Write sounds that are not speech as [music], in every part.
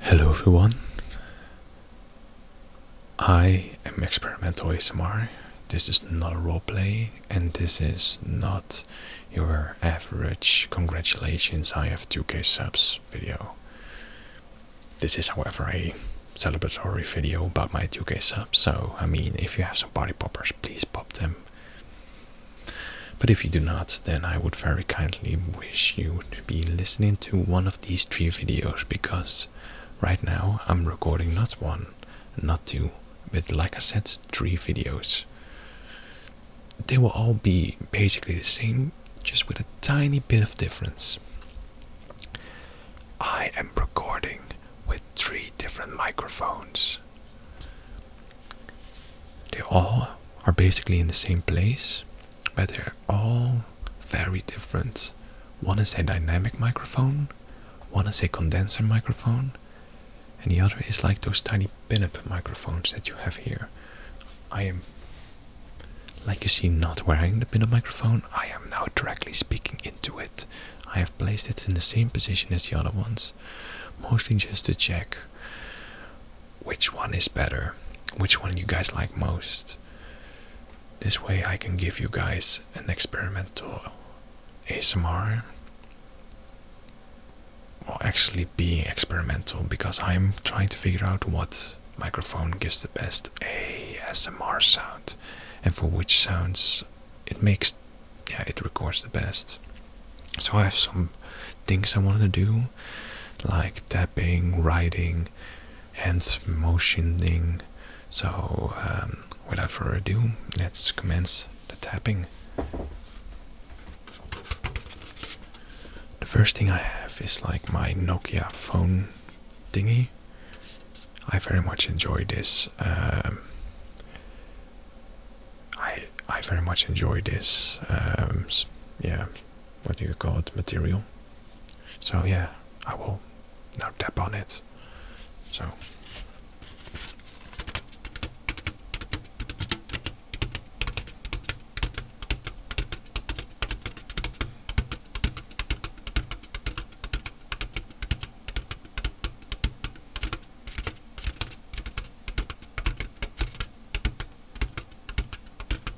Hello everyone. I am experimental ASMR. This is not a roleplay and this is not your average congratulations I have 2k subs video. This is however a celebratory video about my 2k subs, so I mean if you have some party poppers please pop them. But if you do not, then I would very kindly wish you to be listening to one of these three videos because right now I'm recording not one, not two, but like I said, three videos. They will all be basically the same, just with a tiny bit of difference. I am recording with three different microphones. They all are basically in the same place, but they're all very different. One is a dynamic microphone, one is a condenser microphone, and the other is like those tiny pinup microphones that you have here. I am, like you see, not wearing the pinup microphone. I am now directly speaking into it. I have placed it in the same position as the other ones, mostly just to check which one is better, which one you guys like most. This way, I can give you guys an experimental ASMR. Well, actually, being experimental because I'm trying to figure out what microphone gives the best ASMR sound and for which sounds it makes yeah it records the best so i have some things i wanted to do like tapping, writing, hands motioning. So, um, without further ado, let's commence the tapping. The first thing I have is like my Nokia phone dingy. I very much enjoy this. Um, I I very much enjoy this. Um, yeah, what do you call it material so yeah i will now tap on it so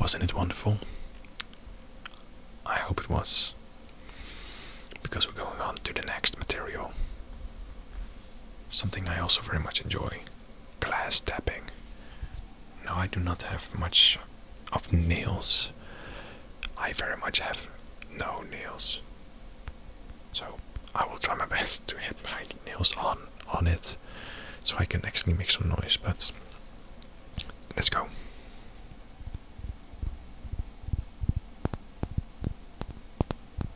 Wasn't it wonderful? I hope it was. Because we're going on to the next material. Something I also very much enjoy glass tapping. No, I do not have much of nails. I very much have no nails. So I will try my [laughs] best to hit my nails on on it so I can actually make some noise, but let's go.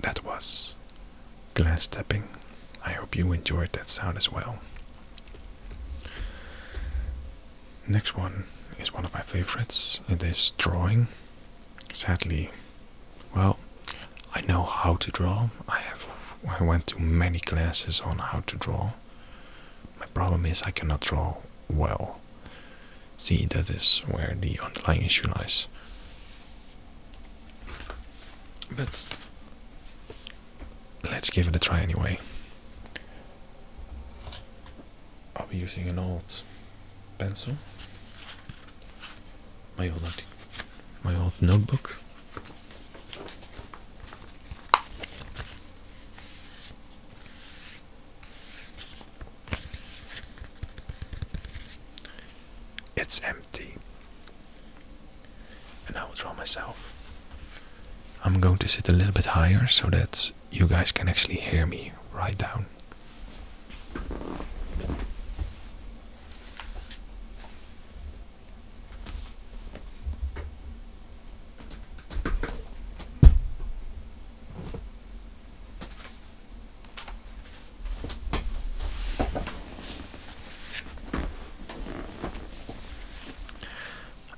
That was glass tapping. I hope you enjoyed that sound as well. Next one is one of my favorites. It is drawing. Sadly, well, I know how to draw. I have I went to many classes on how to draw. My problem is I cannot draw well. See, that is where the underlying issue lies. But let's give it a try anyway. I'll be using an old pencil, my old, my old notebook. It's empty. And I will draw myself. I'm going to sit a little bit higher so that you guys can actually hear me right down.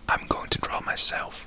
I'm going to draw myself.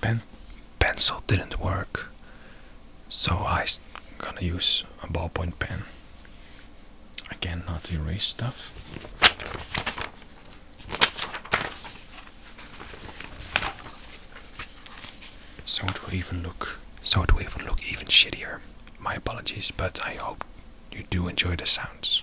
Pen pencil didn't work, so I'm gonna use a ballpoint pen. Again, not erase stuff. So it will even look so it would even look even shittier. My apologies, but I hope you do enjoy the sounds.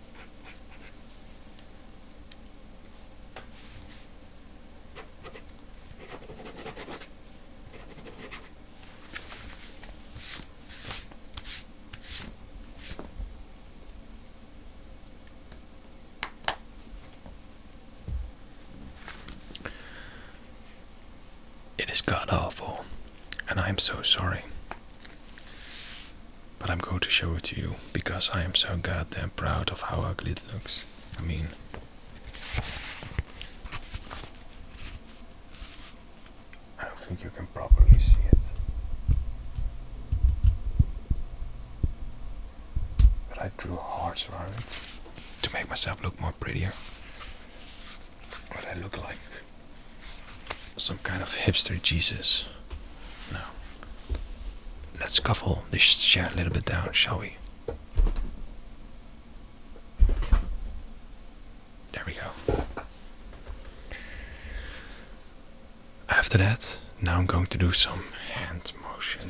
It is god awful, and I am so sorry. But I'm going to show it to you because I am so goddamn proud of how ugly it looks. I mean, I don't think you can properly see it. But I drew hearts around it to make myself look more prettier. What I look like. Some kind of hipster Jesus. Now Let's scuffle this chair a little bit down, shall we? There we go. After that, now I'm going to do some hand motion.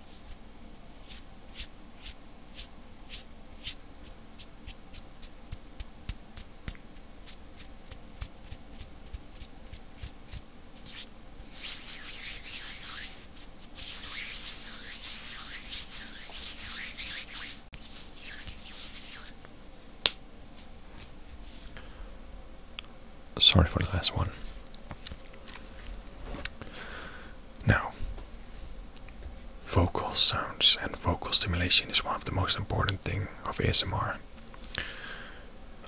Sorry for the last one. Now, vocal sounds and vocal stimulation is one of the most important thing of ASMR.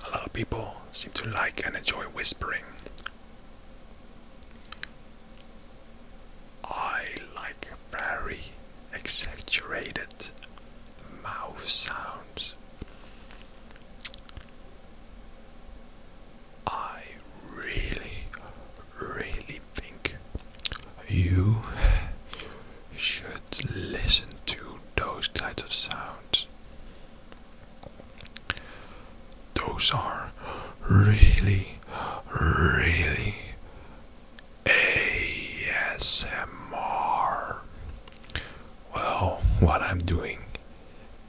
A lot of people seem to like and enjoy whispering. I like very exaggerated mouth sounds. I really, really think you should listen to those kinds of sounds. Those are really, really ASMR. Well, what I'm doing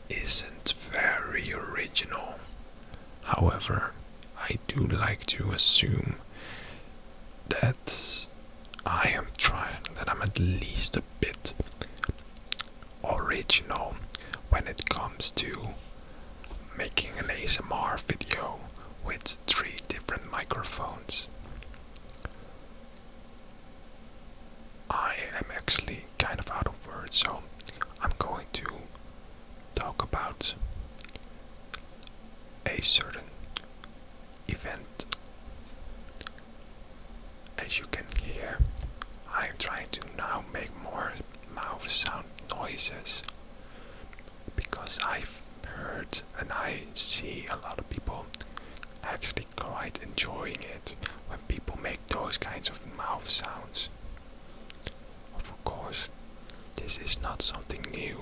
isn't very original. However, I do like to assume that I am trying, that I'm at least a bit original when it comes to making an ASMR video with three different microphones. I am actually kind of out of words, so I'm going to talk about a certain event. As you can hear, I'm trying to now make more mouth sound noises because I've heard and I see a lot of people actually quite enjoying it when people make those kinds of mouth sounds. Of course, this is not something new.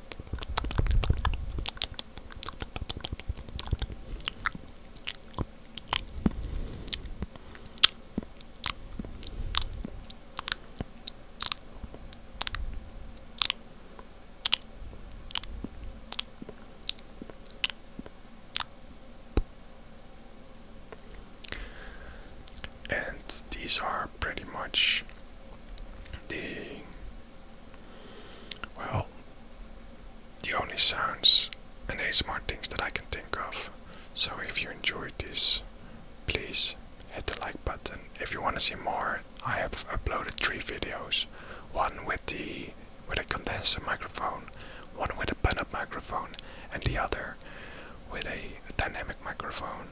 And these are pretty much the well, the only sounds and ASMR things that I can think of. So if you enjoyed this, please hit the like button. If you want to see more, I have uploaded three videos. One with the with a condenser microphone, one with a pin microphone, and the other with a dynamic microphone.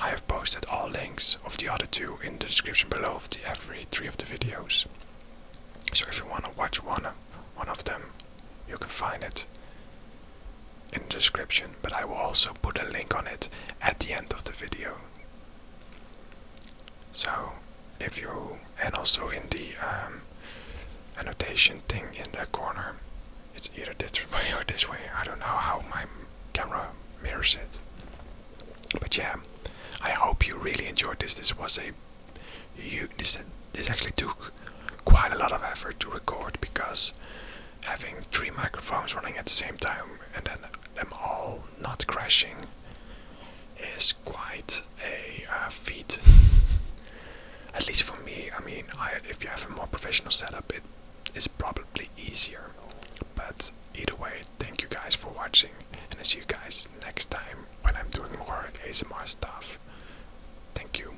I have posted all links of the other two in the description below of the every three of the videos. So if you want to watch one of, one of them, you can find it in the description, but I will also put a link on it at the end of the video. So if you and also in the um, annotation thing in the corner, it's either this way or this way. I don't know how my camera mirrors it. But yeah, I hope you really enjoyed this. This was a you this this actually took quite a lot of effort to record because having three microphones running at the same time and then them all not crashing is quite a uh, feat. [laughs] at least for me, I mean, if you have a more professional setup, it is probably easier. But either way, Thank you guys for watching, and I'll see you guys next time when I'm doing more ASMR stuff. Thank you.